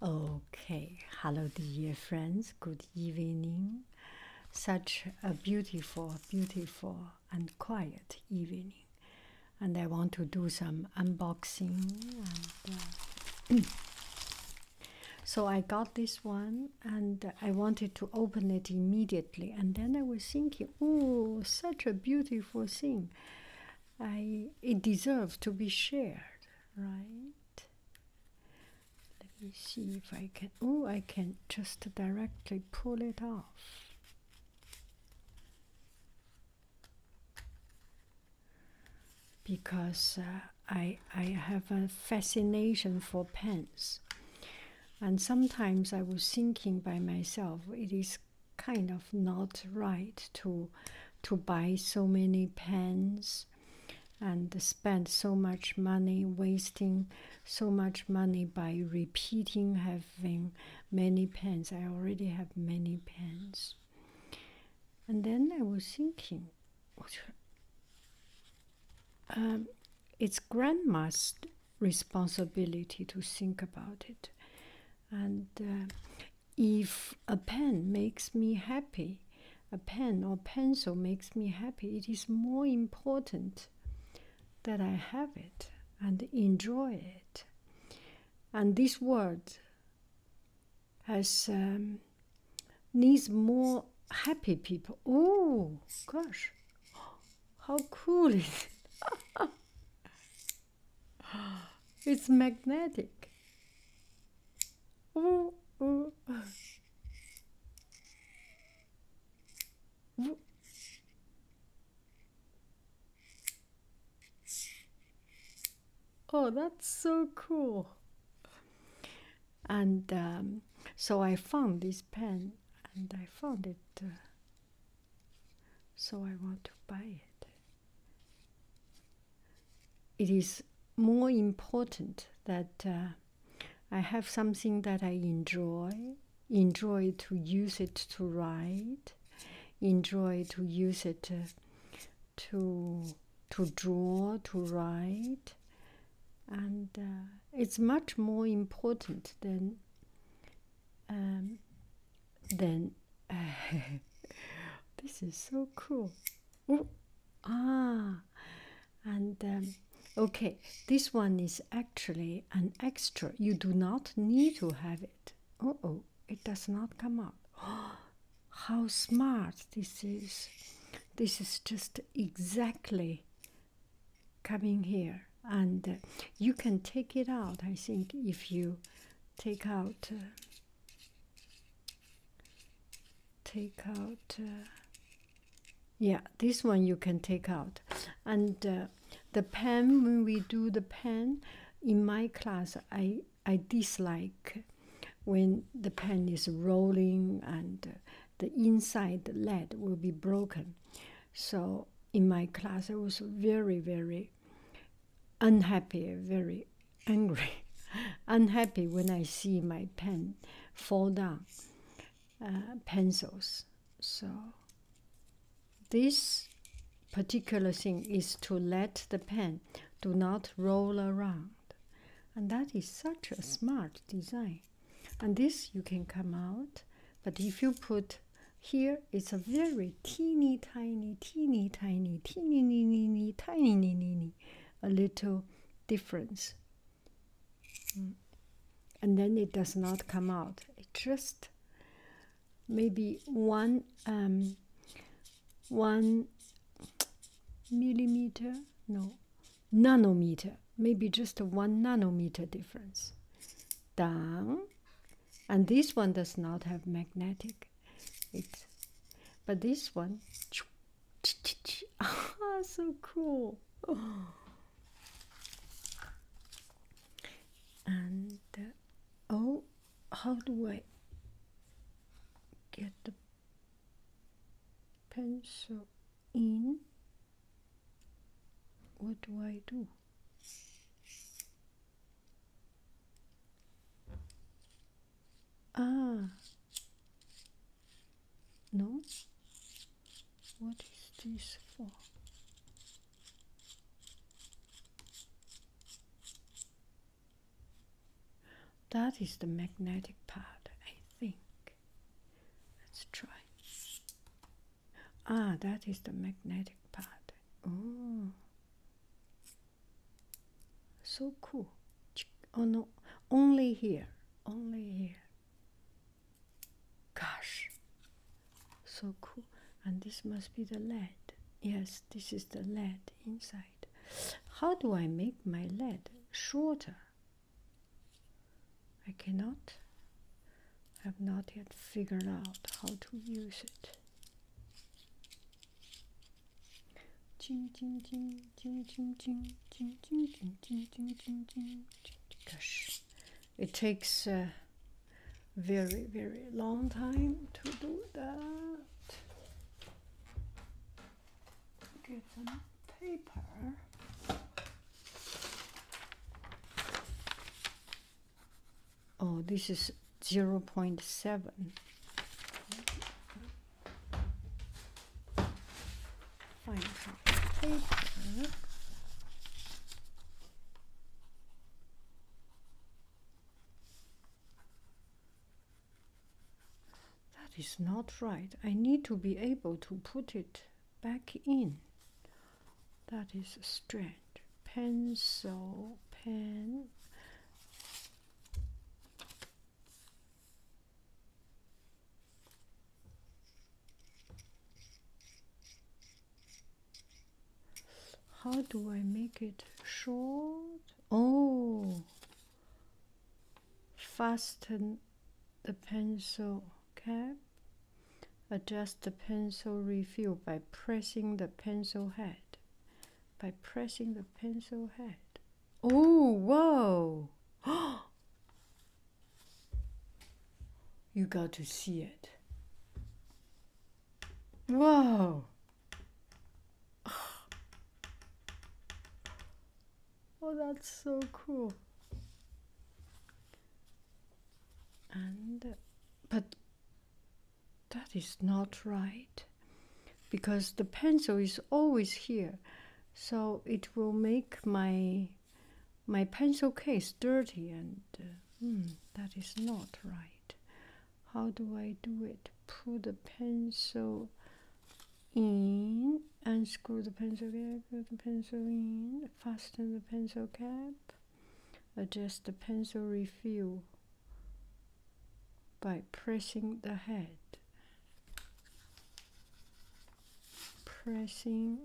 Okay, hello, dear friends. Good evening. Such a beautiful, beautiful, and quiet evening. And I want to do some unboxing. Uh, so I got this one and I wanted to open it immediately. And then I was thinking, oh, such a beautiful thing. I, it deserves to be shared right let me see if I can oh I can just directly pull it off because uh, I I have a fascination for pens and sometimes I was thinking by myself it is kind of not right to to buy so many pens and spend so much money wasting so much money by repeating having many pens i already have many pens and then i was thinking um, it's grandma's responsibility to think about it and uh, if a pen makes me happy a pen or pencil makes me happy it is more important that i have it and enjoy it and this word has um, needs more happy people oh gosh how cool is it it's magnetic Ooh, ooh. Ooh. Oh, that's so cool. And um, so I found this pen and I found it. Uh, so I want to buy it it is more important that uh, I have something that I enjoy, enjoy to use it to write, enjoy to use it uh, to to draw, to write, and uh, it's much more important than um, than. this is so cool. Oh, Ah, and um, okay, this one is actually an extra. You do not need to have it. Oh, oh, it does not come out. how smart this is! This is just exactly coming here, and uh, you can take it out. I think if you take out. Uh, take out uh, yeah this one you can take out and uh, the pen when we do the pen in my class i i dislike when the pen is rolling and uh, the inside lead will be broken so in my class i was very very unhappy, very angry, unhappy when I see my pen fall down, uh, pencils. So this particular thing is to let the pen do not roll around. And that is such a smart design. And this you can come out, but if you put here, it's a very teeny tiny, teeny tiny, teeny, teeny, teeny, tiny, teeny, a little difference. Mm. And then it does not come out. It just maybe one um, one millimeter, no, nanometer, maybe just a one nanometer difference Done, And this one does not have magnetic it. But this one, ah, so cool. And uh, oh, how do I get the pencil in? What do I do? Ah, no, what is this for? That is the magnetic part, I think. Let's try. Ah, that is the magnetic part. Oh, so cool. Oh no, only here, only here. Gosh, so cool. And this must be the lead. Yes, this is the lead inside. How do I make my lead shorter? I cannot. I have not yet figured out how to use it. Gosh, it takes a very, very long time to do that. Get some paper. Oh, this is zero point seven. That is not right. I need to be able to put it back in. That is strange. Pencil, pen how do I make it short? Oh, fasten the pencil cap. Adjust the pencil refill by pressing the pencil head. By pressing the pencil head. Oh, whoa. you got to see it. Whoa. Oh, that's so cool. And, but that is not right because the pencil is always here so it will make my my pencil case dirty and uh, hmm, that is not right how do i do it put the pencil in unscrew the pencil cap put the pencil in fasten the pencil cap adjust the pencil refill by pressing the head. Pressing.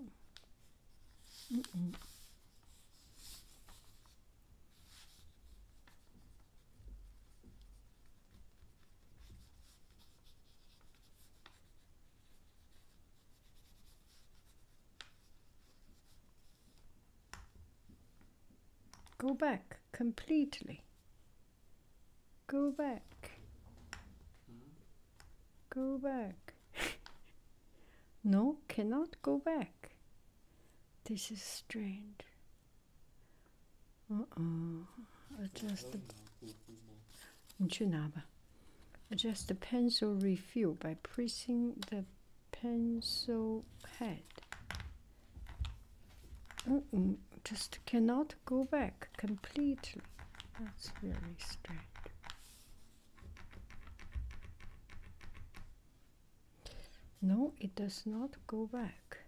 Go back completely Go back. Go back. no, cannot go back. This is strange. Uh-oh. Adjust the... Adjust the pencil refill by pressing the pencil head just cannot go back completely. That's very strange. No, it does not go back.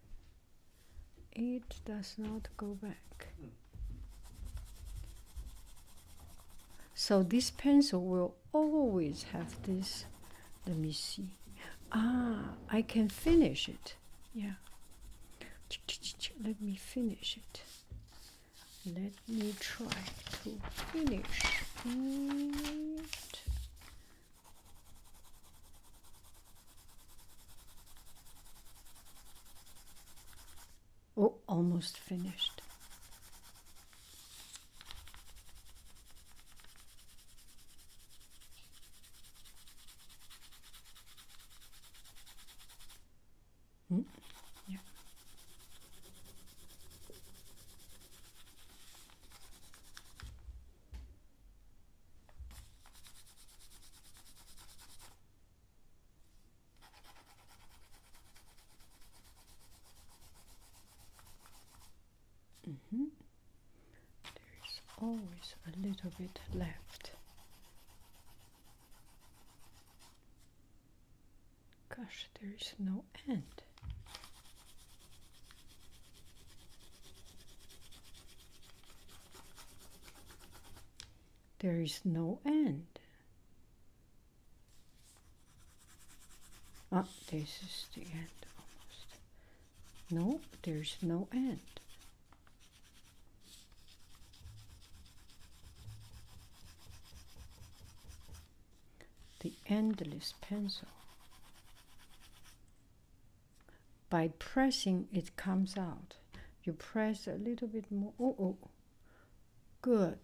It does not go back. So this pencil will always have this. Let me see. Ah, I can finish it. Yeah. Let me finish it. Let me try to finish it. Oh, almost finished. Hmm? Yeah. Mm-hmm. mm-hmm. There's always a little bit left. Gosh, there is no end. There is no end. Ah, this is the end almost. No, there's no end. The endless pencil. By pressing, it comes out. You press a little bit more. Oh, oh, good.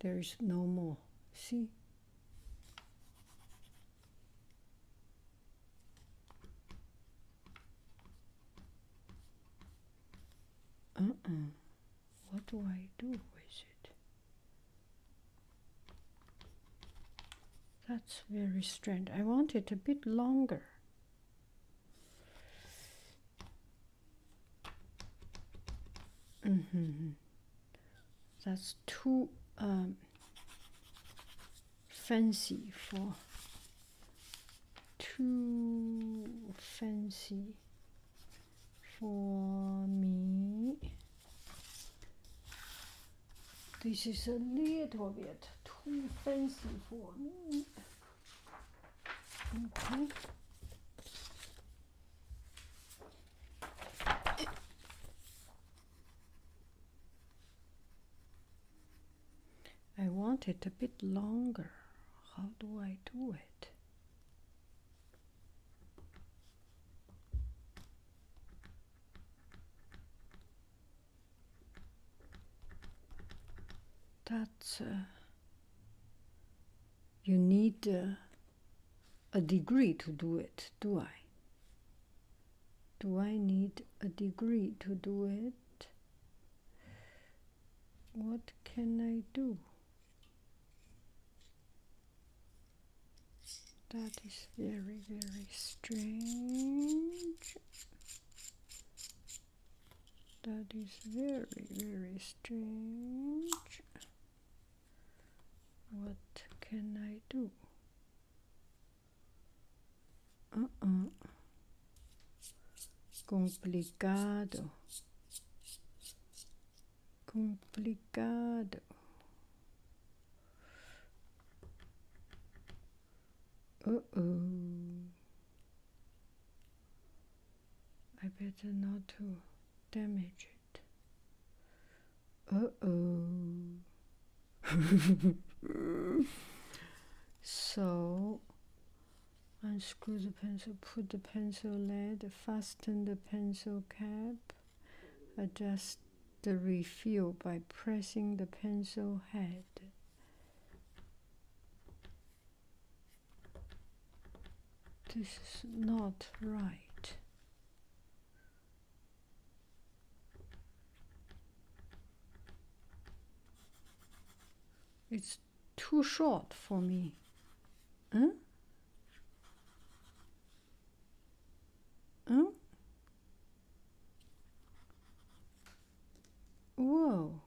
There is no more. See? Uh-uh. What do I do with it? That's very strange. I want it a bit longer. Mm -hmm. That's too um, fancy for too fancy for me. This is a little bit too fancy for me. Okay. I want it a bit longer. How do I do it? thats uh, you need uh, a degree to do it, do I? do I need a degree to do it? What can I do? That is very, very strange. That is very, very strange. What can I do? Uh -uh. Complicado. Complicado. Uh -uh. I better not to damage it. Uh oh. so unscrew the pencil, put the pencil lead, fasten the pencil cap, adjust the refill by pressing the pencil head. This is not right. It's too short for me. Huh? Huh? Whoa.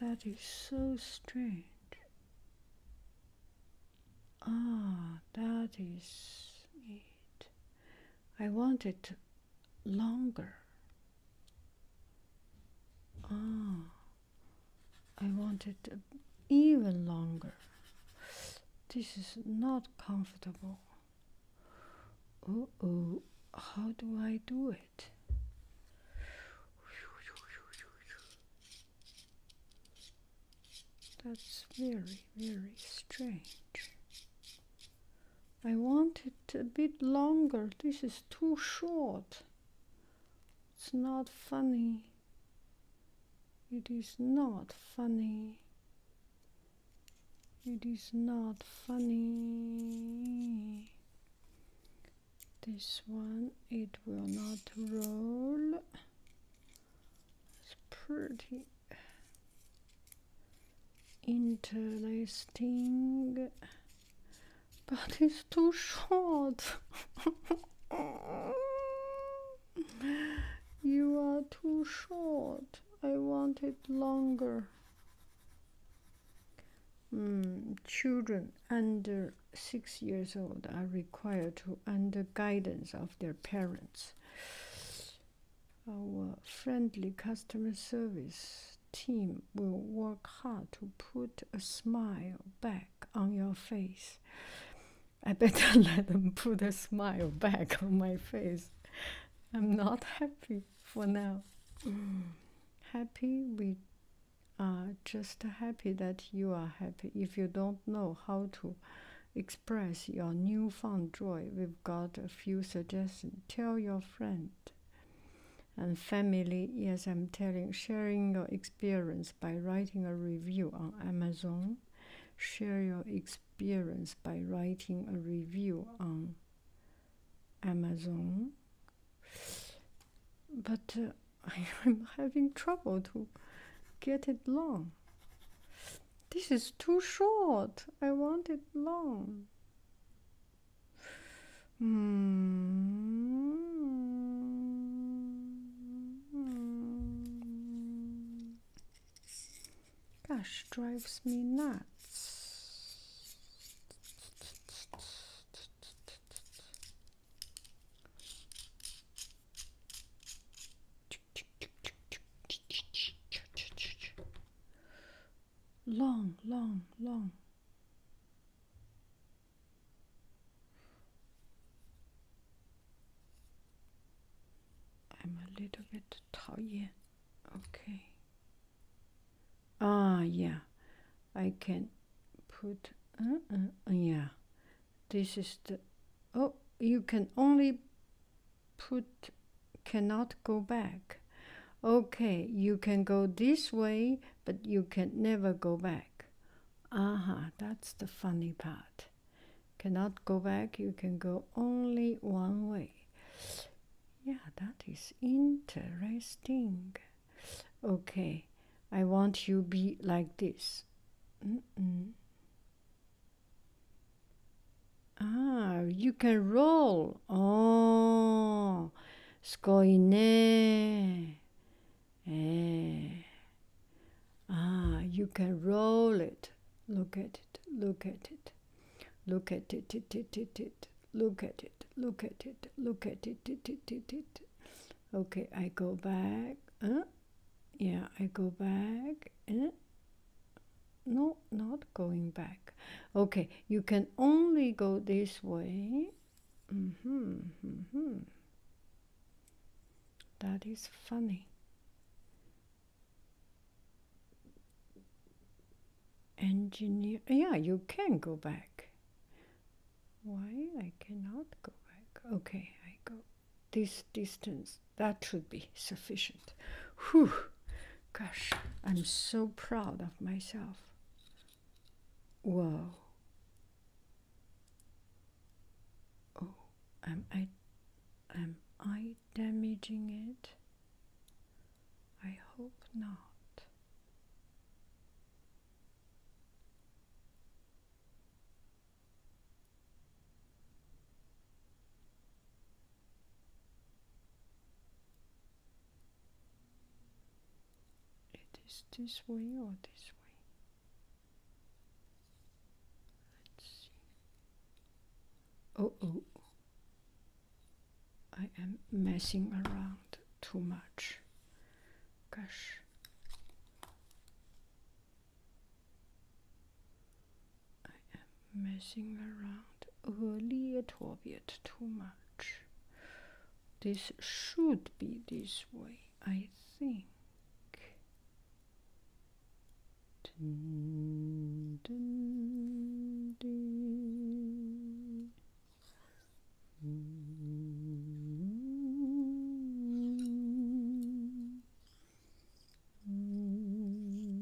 That is so strange. Ah, that is it. I want it longer. Ah, I want it even longer. This is not comfortable. Oh, oh, how do I do it? That's very, very strange. I want it a bit longer. This is too short. It's not funny. It is not funny. It is not funny. This one, it will not roll. It's pretty interlacing, but it's too short. you are too short. I want it longer. Mm, children under six years old are required to, under guidance of their parents. Our friendly customer service team will work hard to put a smile back on your face. I better let them put a smile back on my face. I'm not happy for now. Happy, we are just happy that you are happy. If you don't know how to express your newfound joy. We've got a few suggestions. Tell your friend and family. Yes, I'm telling, sharing your experience by writing a review on Amazon. Share your experience by writing a review on Amazon. But uh, I'm having trouble to get it long. This is too short. I want it long. Hmm. Gosh, drives me nuts long, long, long. I'm a little bit tired. Okay. Ah, yeah. I can put. Uh, uh, yeah. This is the, oh, you can only put, cannot go back. Okay, you can go this way, but you can never go back. Aha, that's the funny part. Cannot go back, you can go only one way. Yeah, that is interesting. Okay, I want you be like this. Mm -mm. Ah, you can roll. Oh, すごいね。えー、ah, eh. you can roll it. Look at it. Look at it. Look at it. it, it, it, it. Look at it. Look at it. Look at it. it, it, it, it. Okay, I go back. Huh? yeah I go back eh? no not going back okay you can only go this way mm -hmm, mm -hmm. that is funny engineer yeah you can go back why I cannot go back okay I go this distance that should be sufficient whew gosh i'm so proud of myself whoa oh am i am i damaging it i hope not it is this way or this way? Let's see. Oh, oh, oh. I am messing around too much. Gosh. I am messing around a little bit too much. This should be this way, I think. Mm.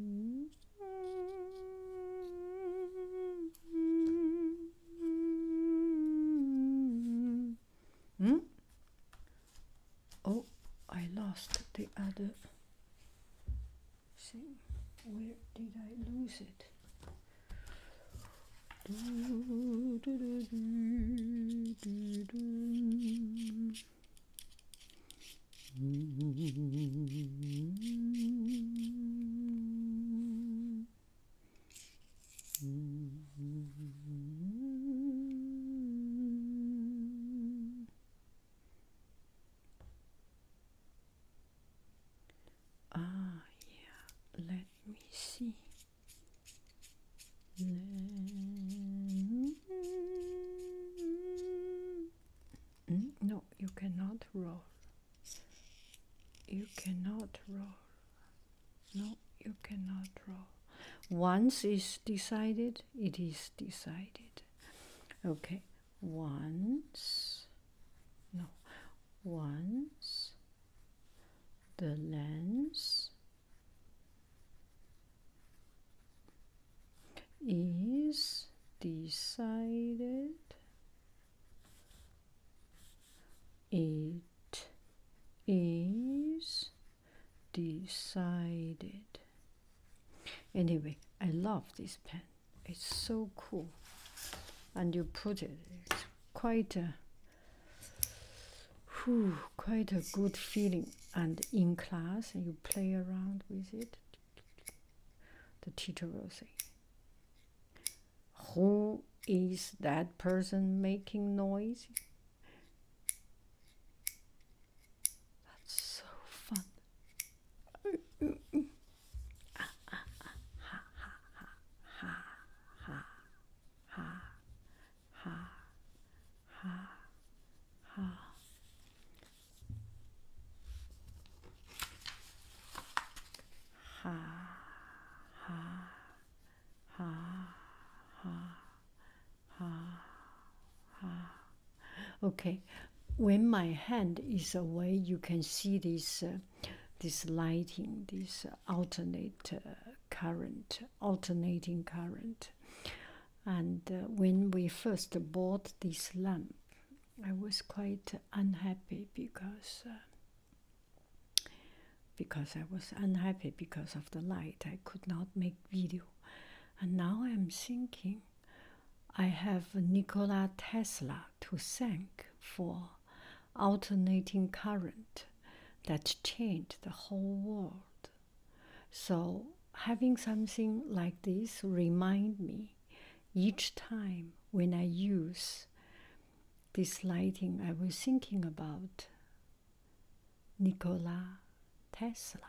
Oh, I lost the other thing. Where did I lose it? Ah, yeah, let me see. No, you cannot roll. You cannot roll. No, you cannot roll. Once is decided, it is decided. Okay, once, no, once the lens is decided it is decided anyway i love this pen it's so cool and you put it quite quite a good feeling. And in class, you play around with it. The teacher will say, Who is that person making noise? That's so fun. ha, ha, ha. Ha, ha, ha, ha, ha, ha. Okay, when my hand is away, you can see this, uh, this lighting, this alternate uh, current, alternating current. And uh, when we first bought this lamp, I was quite unhappy because uh, because I was unhappy because of the light. I could not make video, and now I'm thinking I have Nikola Tesla to thank for alternating current that changed the whole world. So having something like this remind me each time when I use this lighting I was thinking about Nikola Tesla.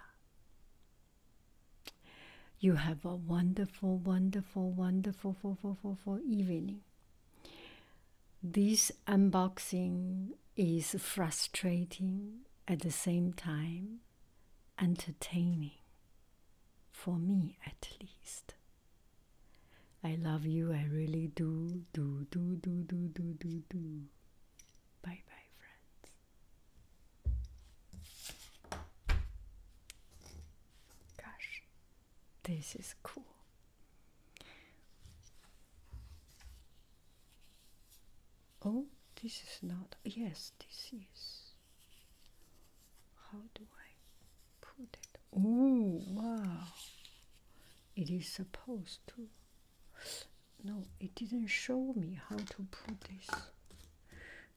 You have a wonderful, wonderful, wonderful, for, for, for, for evening. This unboxing is frustrating at the same time entertaining, for me at least. I love you, I really do, do, do, do, do, do, do, do. Bye bye, friends. Gosh, this is cool. Oh, this is not. Yes, this is. How do I put it? Oh, wow. It is supposed to. No, it didn't show me how to put this.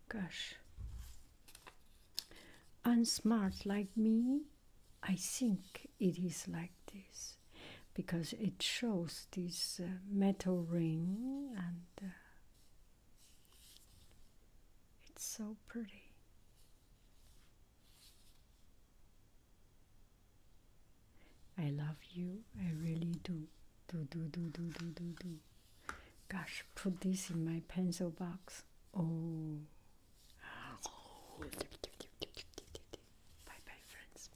Gosh. Unsmart like me, I think it is like this because it shows this uh, metal ring and uh, it's so pretty. I love you, I really do. Do, do, do, do, do, do, do. Gosh, put this in my pencil box. Oh. Bye bye, friends.